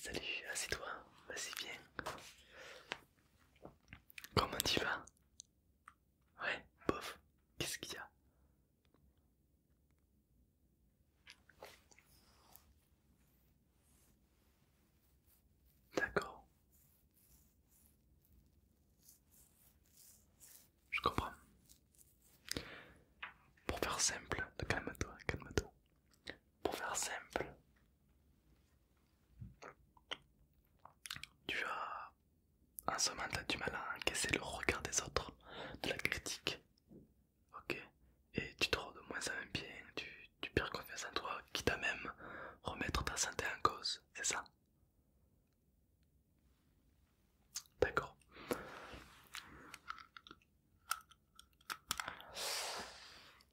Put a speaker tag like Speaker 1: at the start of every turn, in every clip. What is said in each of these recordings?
Speaker 1: salut, assieds-toi, vas-y bien. Comment tu vas Ouais, bof, qu'est-ce qu'il y a D'accord. Je comprends. Pour faire simple, calme-toi, calme-toi. Pour faire simple, tu as. En ce moment, t'as du mal à encaisser le regard des autres, de la critique. Ok Et tu te rends de moins en moins bien, tu, tu perds confiance en toi, quitte à même remettre ta santé en cause, c'est ça D'accord.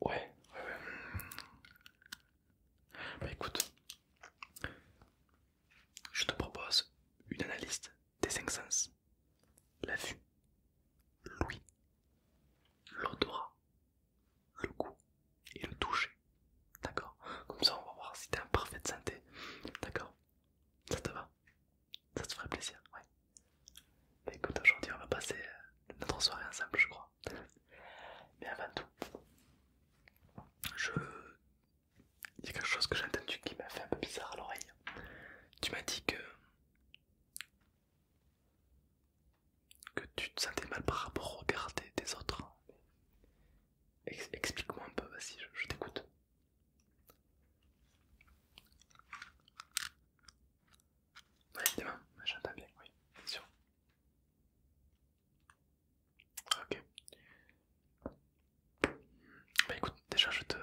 Speaker 1: Ouais, ouais, ouais bah écoute, je te propose une analyse des cinq sens. La vue, l'ouïe, l'odorat, le goût et le toucher. D'accord Comme ça on va voir si t'es en parfaite santé. D'accord Ça te va Ça te ferait plaisir Ouais. Bah, écoute, aujourd'hui on va passer euh, notre soirée ensemble je crois. Mais avant tout, je... il y a quelque chose que j'ai entendu qui m'a fait un peu bizarre à l'oreille. Tu m'as dit que... que tu te sentais mal par rapport au regard des, autres. Explique-moi un peu, vas-y, je, t'écoute. évidemment, j'entends bien, oui, Ok. Bah écoute, déjà je te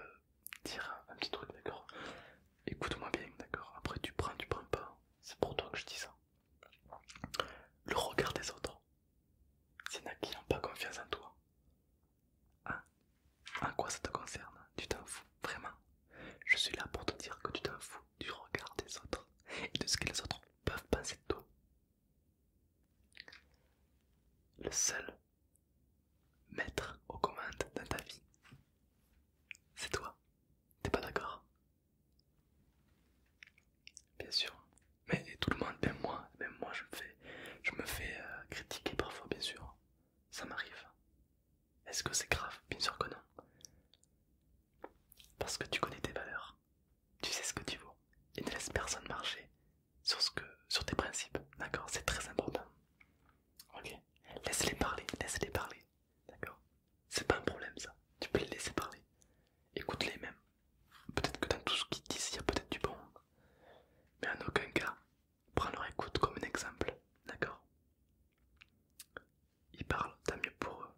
Speaker 1: dire un petit truc, d'accord Écoute-moi bien, d'accord Après tu prends, tu prends pas. C'est pour toi que je dis ça. Le regard des autres. c'est n'a qui n'ont pas confiance en toi. Hein En quoi ça te concerne Tu t'en fous, vraiment Je suis là pour te dire que tu t'en fous du regard des autres et de ce que les autres peuvent penser de toi. Le seul maître aux commandes dans ta vie, c'est toi. T'es pas d'accord Bien sûr. Mais tout le monde, même moi, même moi je me fais, je me fais euh, critiquer parfois, bien sûr. Ça m'arrive. Est-ce que c'est grave Bien sûr que non. Parce que tu connais tes valeurs, tu sais ce que tu vaux, et ne laisse personne marcher sur, sur tes principes, d'accord C'est très important. Ok Laisse-les parler, laisse-les parler, d'accord C'est pas un problème ça, tu peux les laisser parler. Écoute-les même. Peut-être que dans tout ce qu'ils disent, il y a peut-être du bon. Mais en aucun cas, prends leur écoute comme un exemple, d'accord il parle, tant mieux pour eux.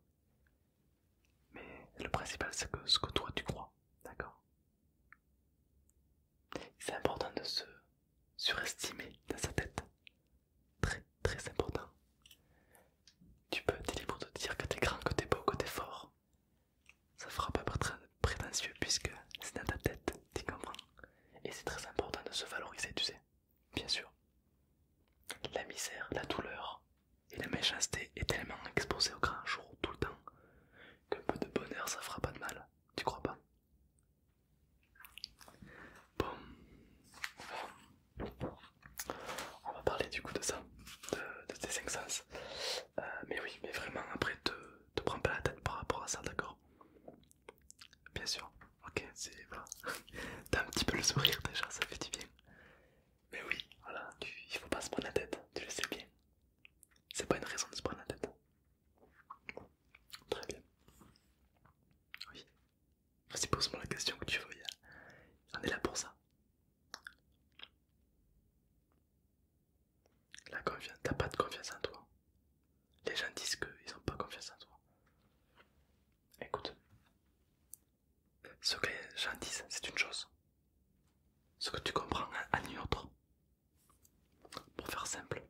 Speaker 1: Mais le principal, c'est ce que toi tu crois, d'accord C'est important de se surestimer dans sa tête. Très, très important. Tu peux être libre de dire que t'es grand, que t'es beau, que t'es fort. Ça fera pas prétentieux puisque c'est dans ta tête, tu comprends Et c'est très important de se valoriser, tu sais. Bien sûr. La misère, la douleur et la méchanceté est tellement exposée au grand jour tout le temps qu'un peu de bonheur ça fera pas de mal, tu crois pas Bon, on va parler du coup de ça, de, tes cinq sens. Euh, mais oui, mais vraiment après te prends pas la tête par rapport à ça, d'accord Bien sûr. Ok, c'est voilà. T'as un petit peu le sourire déjà, ça fait du bien. Mais oui, voilà, tu, il faut pas se prendre la tête, tu le sais bien. C'est pas une raison de se prendre la tête. Très bien. Oui. Vas-y, pose-moi la question que tu veux. On est là pour ça. La confiance, t'as pas de confiance en toi. Les gens disent qu'ils n'ont pas confiance en toi. Écoute, ce que les c'est une chose. Ce que tu comprends à une autre. Pour faire simple,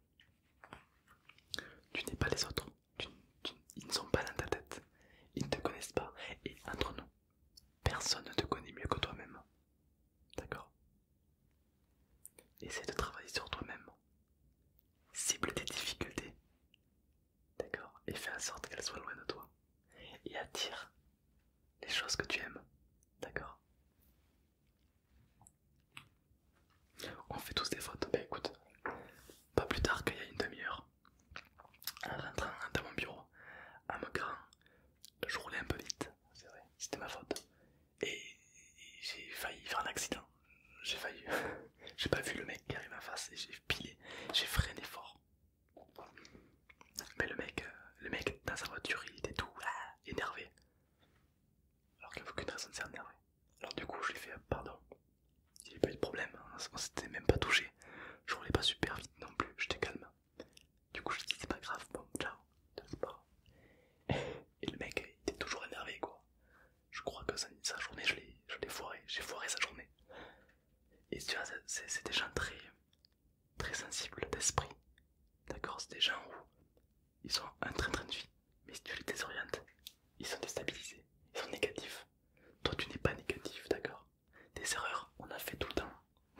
Speaker 1: tu n'es pas les autres. ils ne sont pas dans ta tête. Ils ne te connaissent pas. Et entre nous, personne ne te connaît mieux que toi-même. D'accord essaye de travailler sur toi-même. Cible tes difficultés. D'accord Et fais en sorte qu'elle soit loin de toi. Et attire les choses que tu aimes. D'accord On fait tous des fautes. Bah écoute, pas plus tard qu'il y a une demi-heure, en rentrant dans mon bureau, en me je roulais un peu vite, c'est vrai, c'était ma faute. Et j'ai failli faire un accident j'ai failli. j'ai pas vu le mec qui arrive en face et j'ai pilé, j'ai freiné fort. Mais le mec, euh, le mec dans sa voiture, il était tout ah, énervé. Alors qu'il n'y avait aucune raison de s'énerver. Alors du coup, je lui ai fait ah, pardon. Il n'y avait pas eu de problème, hein. on s'était même pas touché. Je roulais pas super vite non plus, j'étais calme. Du coup, je lui ai dit c'est pas grave, bon, ciao, Et le mec, était toujours énervé quoi je crois que sa, journée, je l'ai foiré, j'ai foiré sa journée. Et tu vois, c'est des gens très, très sensibles d'esprit, d'accord C'est des gens où ils sont en train, de vivre mais si tu les désorientes, ils sont déstabilisés, ils sont négatifs. Toi, tu n'es pas négatif, d'accord Des erreurs, on a fait tout le temps,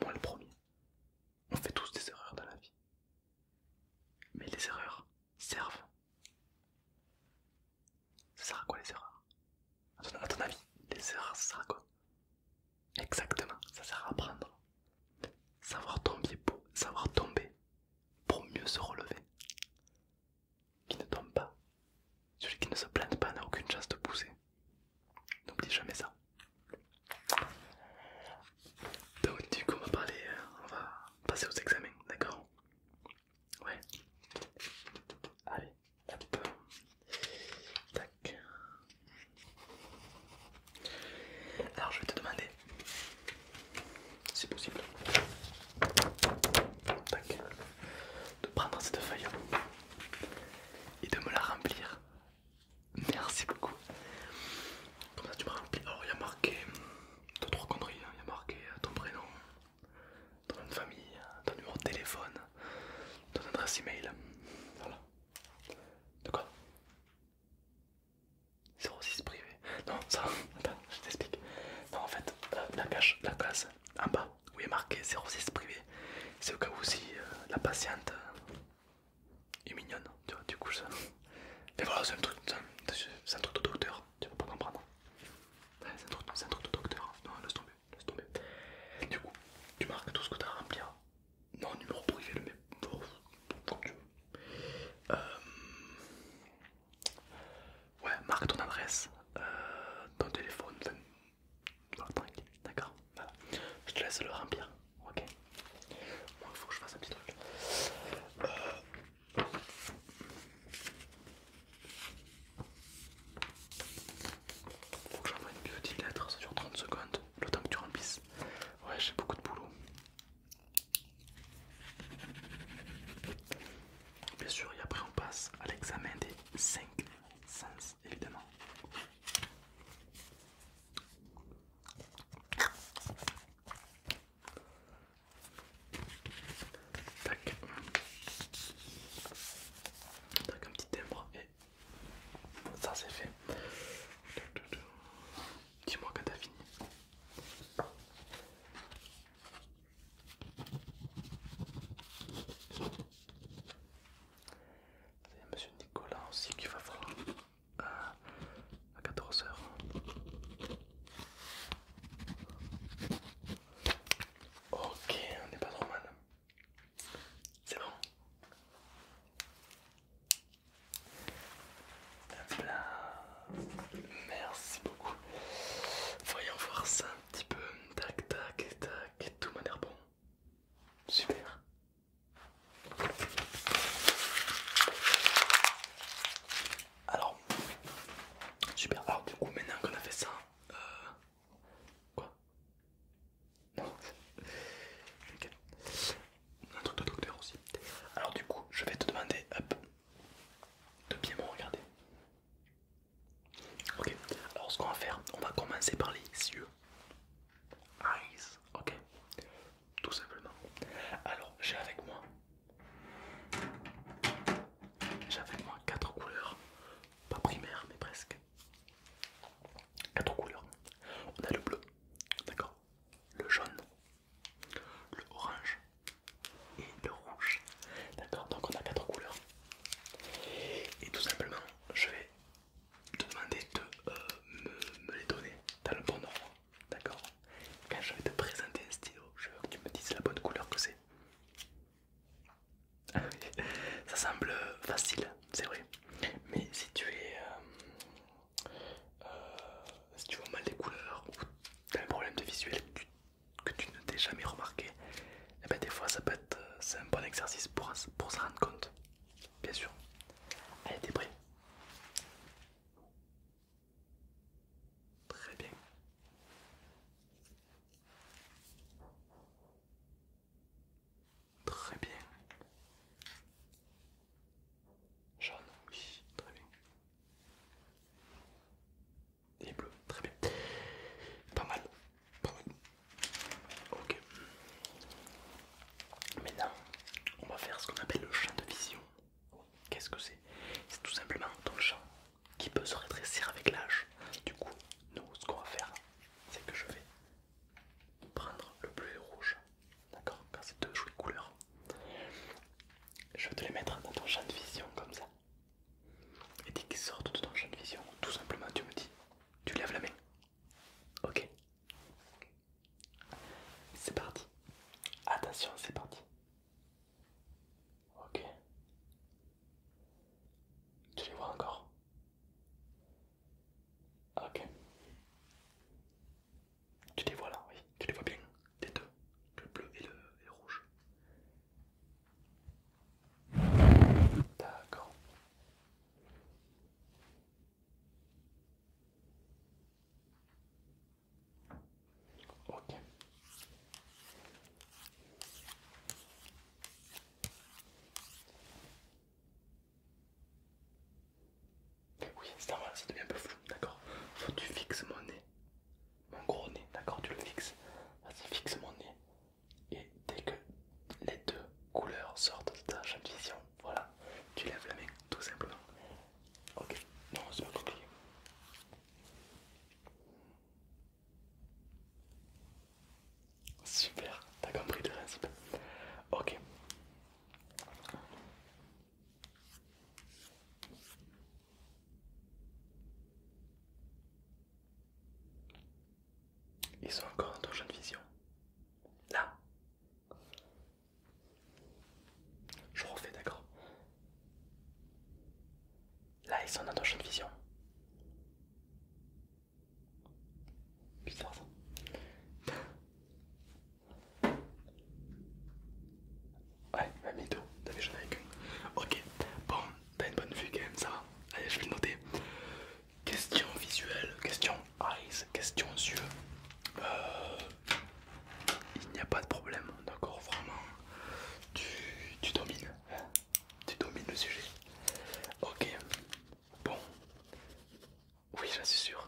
Speaker 1: moi le premier. On fait tous des erreurs dans la vie. Mais les erreurs servent ça sert à quoi les erreurs à ton avis, les erreurs, ça sert à quoi Exactement, ça sert à apprendre. Savoir tomber, pour, savoir tomber pour mieux se relever. Qui ne tombe pas, celui qui ne se plaint pas n'a aucune chance de pousser. N'oublie jamais ça. Donc du coup on euh, on va passer aux examens, d'accord Ouais. Allez, hop. Tac. Alors je vais te demander, si possible, de prendre cette feuille et de me la remplir. Merci beaucoup. Comme ça tu me remplis. Alors oh, il y a marqué t'as trois conneries, hein. il y a marqué euh, ton prénom, ton nom de famille, ton euh, numéro de téléphone, ton adresse email. Voilà. De quoi 06 privé. Non, ça, attends, je t'explique. Non, en fait, euh, la cage, la case en bas où il est marqué 06 privé, c'est au cas où si euh, la patiente est mignonne, tu vois, du coup, ça. Mais voilà, c'est un truc, c'est un, truc de docteur, tu vas pas comprendre. C'est un truc, de docteur. Hein. Non, laisse tomber, Du coup, tu marques tout ce que tu as à remplir. Hein. Non, numéro privé, le même. tu veux. Euh, ouais, marque ton adresse, euh, ton téléphone, tranquille, d'accord, voilà. Je te laisse le remplir, ok il faut que je fasse un petit truc. Euh, faut que j'envoie une petite lettre, ça 30 secondes, le temps que tu remplisses. Ouais, j'ai beaucoup de boulot. Bien sûr, et après on passe à l'examen des 5 sens, évidemment. Tac. Tac, un petit timbre et ça c'est fait. Dis-moi quand t'as fini. C'est monsieur Nicolas aussi qui va voir euh, à 14h. Ok, on n'est pas trop mal. C'est bon. Merci beaucoup. Voyons voir ça un petit peu. Tac, tac, tac. Tout m'a l'air bon. Super. Alors, super. Alors, du coup, maintenant qu'on a fait ça, euh... quoi Non, Un truc de docteur aussi. Alors, du coup, je vais te demander hop, de bien me regarder. Ok, alors ce qu'on va faire, on va commencer par les yeux. Eyes, ok, tout simplement. Alors, j'ai avec moi j'avais moi 4 couleurs, pas primaires mais presque. 4 couleurs. On a le bleu, d'accord, le jaune, le orange et le rouge. D'accord, donc on a quatre couleurs. Et tout simplement, je vais te demander de euh, me, me les donner dans le bon ordre. D'accord Quand je vais te présenter un stylo, je veux que tu me dises la bonne couleur que c'est. Ah ça semble facile, c'est vrai. Mais si tu es. Euh, euh, si tu vois mal les couleurs ou tu as un problème de visuel que tu, ne t'es jamais remarqué, et eh ben des fois ça peut être. Euh, c'est un bon exercice pour, pour se rendre compte. Bien sûr. Allez, t'es prêt Très bien. Très bien. Jaune, oui, très bien. Et bleu, très bien. Pas mal. Pas mal. Ok. Maintenant, on va faire ce qu'on appelle le champ de vision. Qu'est-ce que c'est C'est tout simplement ton champ qui peut se rétrécir avec l'âge. Du coup, nous, ce qu'on va faire, c'est que je vais prendre le bleu et le rouge, d'accord que c'est deux jolies couleurs, je vais te les mettre dans ton champ de vision comme ça. Et dès qu'ils sortent de ton champ de vision, tout simplement, tu me dis, tu lèves la main. Ok C'est parti. Attention, c'est parti. Ok. Tu les vois encore ah, Ok. Tu les vois là, oui. Tu les vois bien, les deux. Le bleu et le, et rouge. D'accord. Ok. Oui, c'est normal, ça devient un peu flou, d'accord Faut que tu fixes mon nez, mon gros nez, d'accord Tu le fixes. Vas-y, fixe mon nez. Et dès que les deux couleurs sortent de ta de vision, voilà, tu lèves la main tout simplement. Ok, non, c'est pas compliqué. Super, t'as compris le principe. Ok. Ils sont encore dans ton champ de vision. Là je refais, d'accord. Là, ils sont dans ton champ de vision. Bizarre ça. Ouais, même mytho, t'avais jamais avec Ok, bon, t'as une bonne vue quand même, ça va. Allez, je vais le noter. Question visuelle, question eyes, question yeux. Euh, il n'y a pas de problème, d'accord Vraiment, tu, domines, hein. tu domines le sujet. Ok, bon, oui, j'en suis sûr.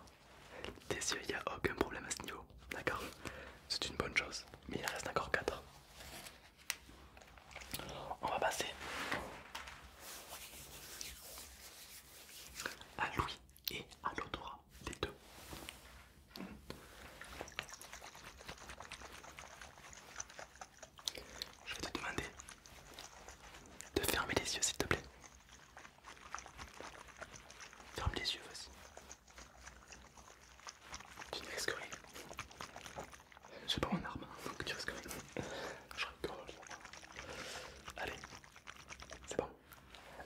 Speaker 1: Tes yeux, il n'y a aucun problème à ce niveau, d'accord C'est une bonne chose, mais il reste encore 4. On va passer à Louis et à l'odorat, des deux. Je vais te demander de fermer les yeux, s'il te plaît. Ferme les yeux, vas-y. Tu ne risques rien. C'est pas mon arme, donc hein, tu risques rien. Je rigole. Allez, c'est bon.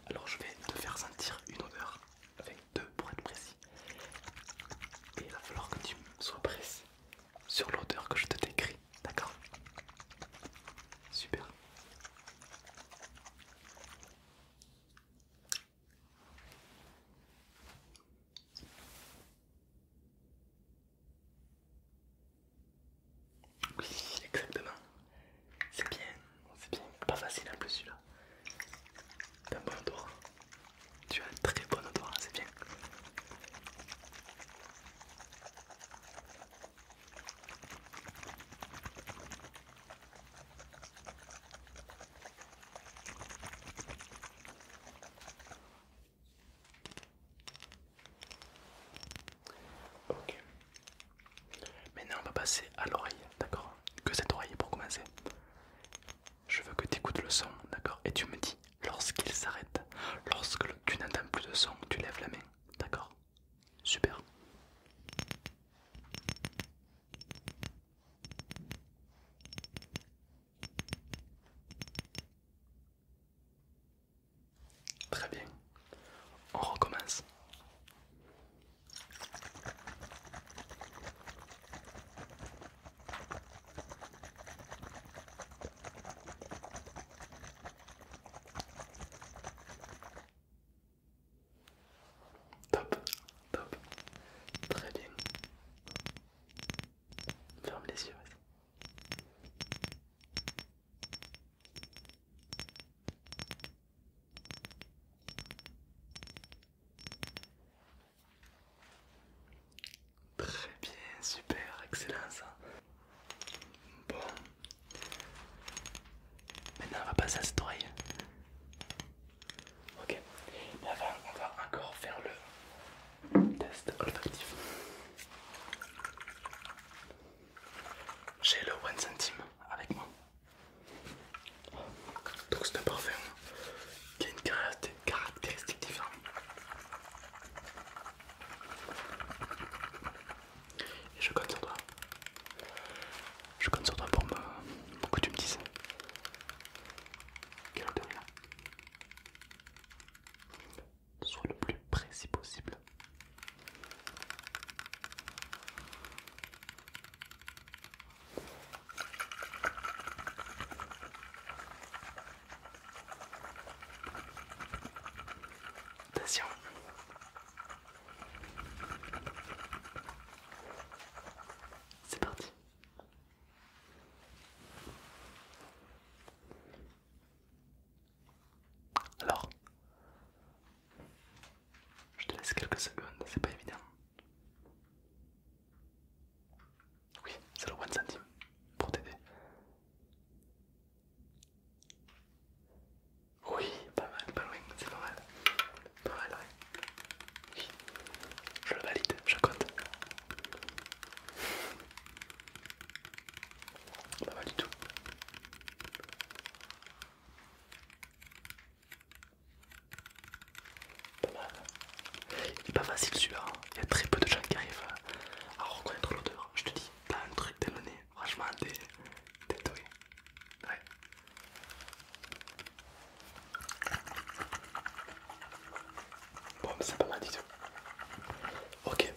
Speaker 1: Alors je vais te faire sentir une odeur, avec deux pour être précis. Et il va falloir que tu sois précis sur l'odeur que je te décris, d'accord Super. Oui, exactement. C'est bien, c'est bien. Pas facile un peu celui-là. un bon Tu as un très bon endroit, c'est bien. Ok, Maintenant, on va passer à l'oreille, d'accord Que cette oreille pour commencer. Je veux que tu écoutes le son, d'accord Et tu me dis lorsqu'il s'arrête. Lorsque tu n'entends plus de son, tu lèves la main, d'accord Super. Très bien. On recommence. Top, top, très bien. Ferme les yeux. Très bien, super, excellent ça. Bon. Maintenant on va passer à cette oreille. Ok. et avant on va encore faire le test olfactif j'ai le one centime avec moi. Donc c'est un parfum qui a une caractéristique différente. je compte sur toi. Je compte sur toi pour, me, pour que tu me dises. Quelle odeur il a Sois le plus précis possible Attention. C'est parti. Alors, je te laisse quelques secondes, c'est pas évident. Oui, c'est le one centime pour t'aider. Oui, pas mal, pas loin, c'est normal. mal. Pas mal, Oui, je le valide, je compte. Pas mal du tout. Pas Il pas facile celui-là. Hein. Il y a très peu de gens qui arrivent à reconnaître l'odeur. Hein. Je te dis, t'as un truc dans nez. Franchement, t'es doué. Ouais. Bon, c'est pas mal du tout. Ok.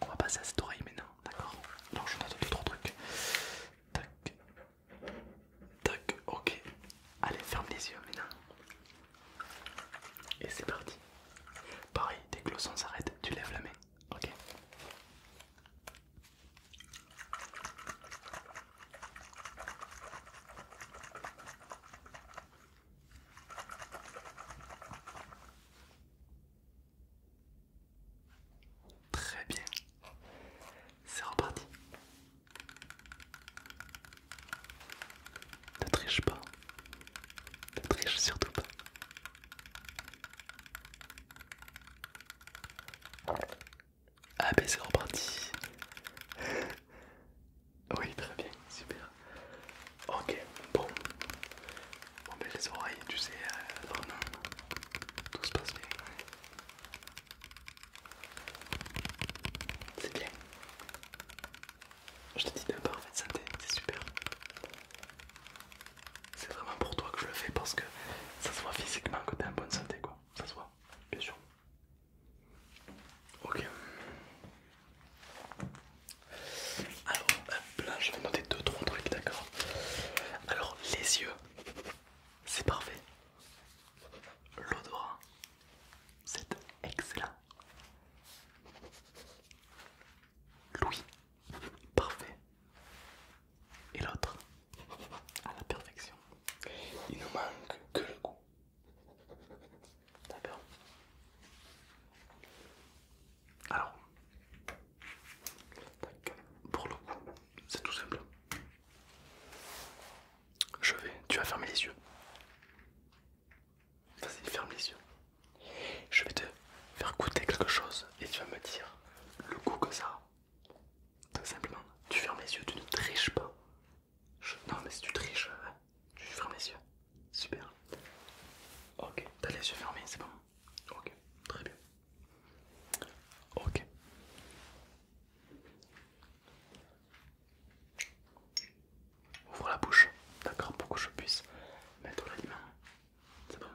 Speaker 1: On va passer à cette oreille maintenant d'accord Alors je note 2 trois trucs. Tac. Tac, ok. Allez, ferme les yeux maintenant. Et c'est parti. Pareil, dès que le son s'arrête, tu lèves la main. Ok. Très bien. C'est reparti. Ne triche pas. Ne triche surtout pas. Ah ben c'est reparti. Oui, très bien, super. Ok, bon. On met les oreilles, tu sais, euh, tout se passe bien. C'est bien. Je te dis de parfaite santé, c'est super. C'est vraiment pour toi que je le fais parce que ça se voit physiquement que t'es en bonne santé, quoi. Ça se voit, bien sûr. Ok. Alors, hop je vais monter 2-3 trucs, d'accord Alors, les yeux, c'est parfait. L'odorat, c'est excellent. Louis, parfait. Et l'autre, à la perfection. Il nous manque que le goût. D'accord alors, pour le coup, c'est tout simple. Je vais, tu vas fermer les yeux. Vas-y, ferme les yeux. Je vais te faire goûter quelque chose et tu vas me dire le goût que ça a. Tout simplement, tu fermes les yeux, tu ne triches pas. Je... Non, mais si tu triches, hein, tu fermes les yeux. Super. Ok, t'as les yeux fermés, c'est bon. Ok, très bien. Ok. Ouvre la bouche, d'accord, pour que je puisse mettre l'aliment. C'est bon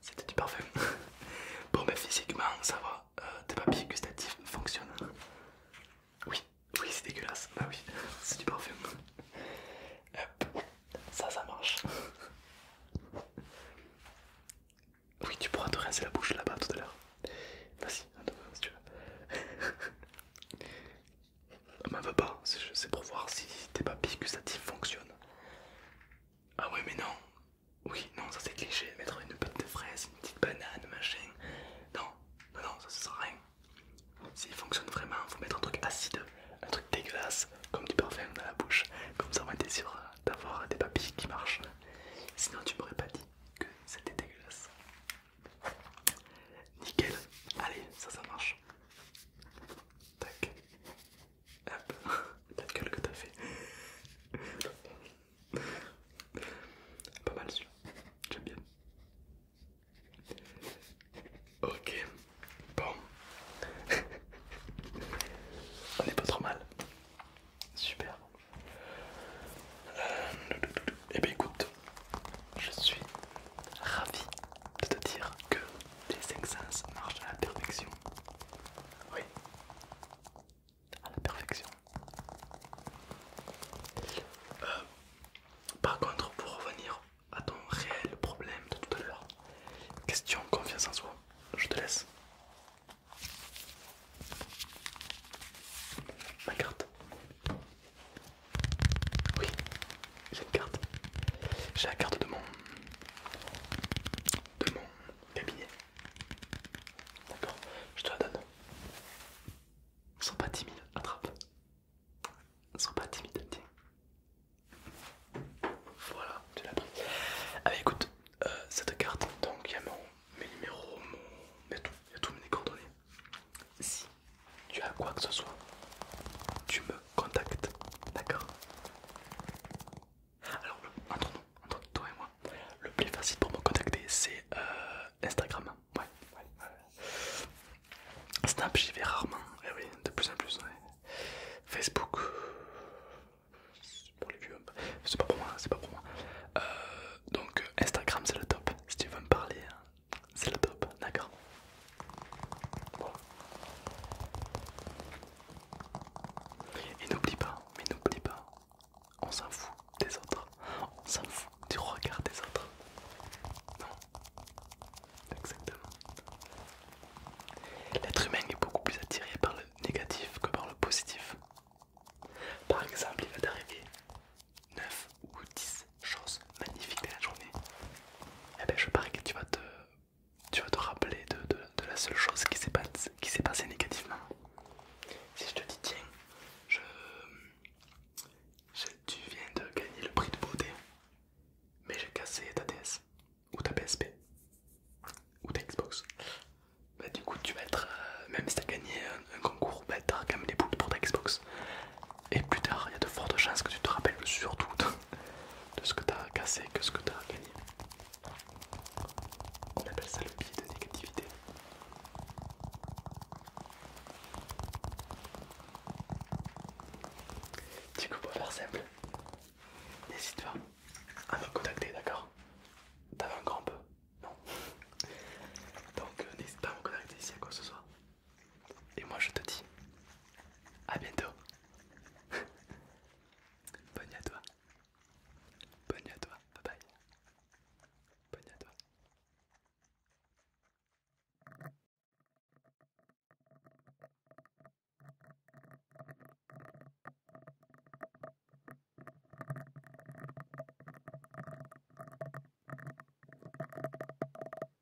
Speaker 1: c'était du parfum. bon, mais ben, physiquement, ça va. Euh, tes papilles gustatives fonctionnent. Oui, oui, c'est dégueulasse. Bah oui, c'est du parfum. ça, ça marche. Oui, tu pourras te rincer la bouche là-bas tout à l'heure. Vas-y, si tu veux. Ah, M'en va pas, c'est pour voir si tes papilles gustatives fonctionnent. Ah ouais mais non Oui non ça c'est cliché mettre une pâte de fraise, une petite banane, machin. Non, non, non, ça, sert à rien. S'il fonctionne vraiment, faut mettre un truc acide, un truc dégueulasse, comme du parfum dans la bouche, comme ça on être sûr d'avoir des papilles qui marchent. Sinon tu m'aurais pas dit que c'était dégueulasse. Nickel, allez, ça ça marche. Tac, Hop, la gueule que t'as fait. Pas mal celui-là, j'aime bien. Ok, bon. On est pas trop mal. Super. Euh, eh bien écoute, je suis ravi de te dire que les 5 sens marchent à la perfection. Oui, à la perfection. Euh, par contre, pour revenir à ton réel problème de tout à l'heure, question confiance en soi, je te laisse. Ma carte. Oui, j'ai une carte. J'ai la carte de mon de mon cabinet. D'accord, je te la donne. Sois pas timide, attrape. Sois pas timide, tiens. Voilà, tu l'as pris. Ah écoute, euh, cette carte, donc il y a mon, mes numéros, mon, il y a tout, il y a tout mes coordonnées. Si tu as quoi que ce soit, tu me contact. D'accord Alors, entre nous, entre toi et moi, le plus facile pour me contacter c'est euh, Instagram. Ouais, Snap, j'y vais rarement. et eh oui, de plus en plus. Facebook, pour c'est pas pour moi, c'est pas pour moi. Euh, donc Instagram c'est le top. Si tu veux me parler, hein, c'est le top, d'accord et n'oublie pas, mais n'oublie pas, on s'en fout des autres, on s'en fout du regard des autres. Non, exactement. L'être humain est beaucoup plus attiré par le négatif que par le positif. Par exemple, il va t'arriver 9 ou 10 choses magnifiques dans la journée. Et eh ben je parie que tu vas te tu vas te rappeler de, la seule chose qui s'est passée négativement. Si je te dis tiens, je, tu viens de gagner le prix de beauté, mais j'ai cassé ta DS, ou ta PSP, ou ta Xbox. Bah du coup tu vas être, euh, même si t'as gagné un, concours, bah t'as quand même pour ta Xbox. Et plus tard, il y a de fortes chances que tu te rappelles surtout de ce que tu as cassé que ce que tu as gagné. On appelle ça le biais de négativité. Du coup, pour faire simple, n'hésite pas à me contacter, d'accord T'avais un grand peu, non Donc, euh, n'hésite pas à me contacter si à quoi que ce soit. Et moi je te dis à bientôt. Bonne à toi. Bonne nuit à toi. Bye bye. Bonne à toi. Ah,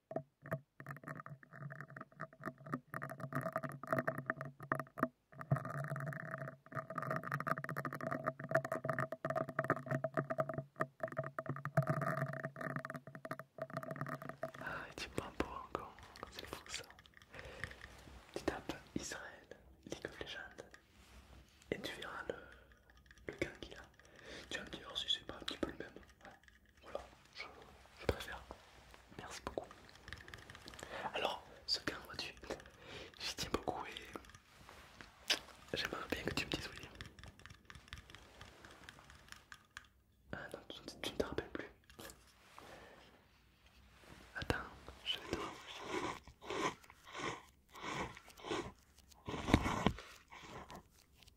Speaker 1: tu Pampo encore, c'est fou ça. Tu tapes Israël, League of Legends, et tu verras le, le gars qu'il a. Tu vas me dire, si c'est pas un petit peu le même. Voilà, je, préfère. Merci beaucoup. Alors, ce gars vois-tu, j'y tiens beaucoup et j'aimerais bien que tu me dises oui. Ah non, tu, ne te rappelles plus. Attends, je vais te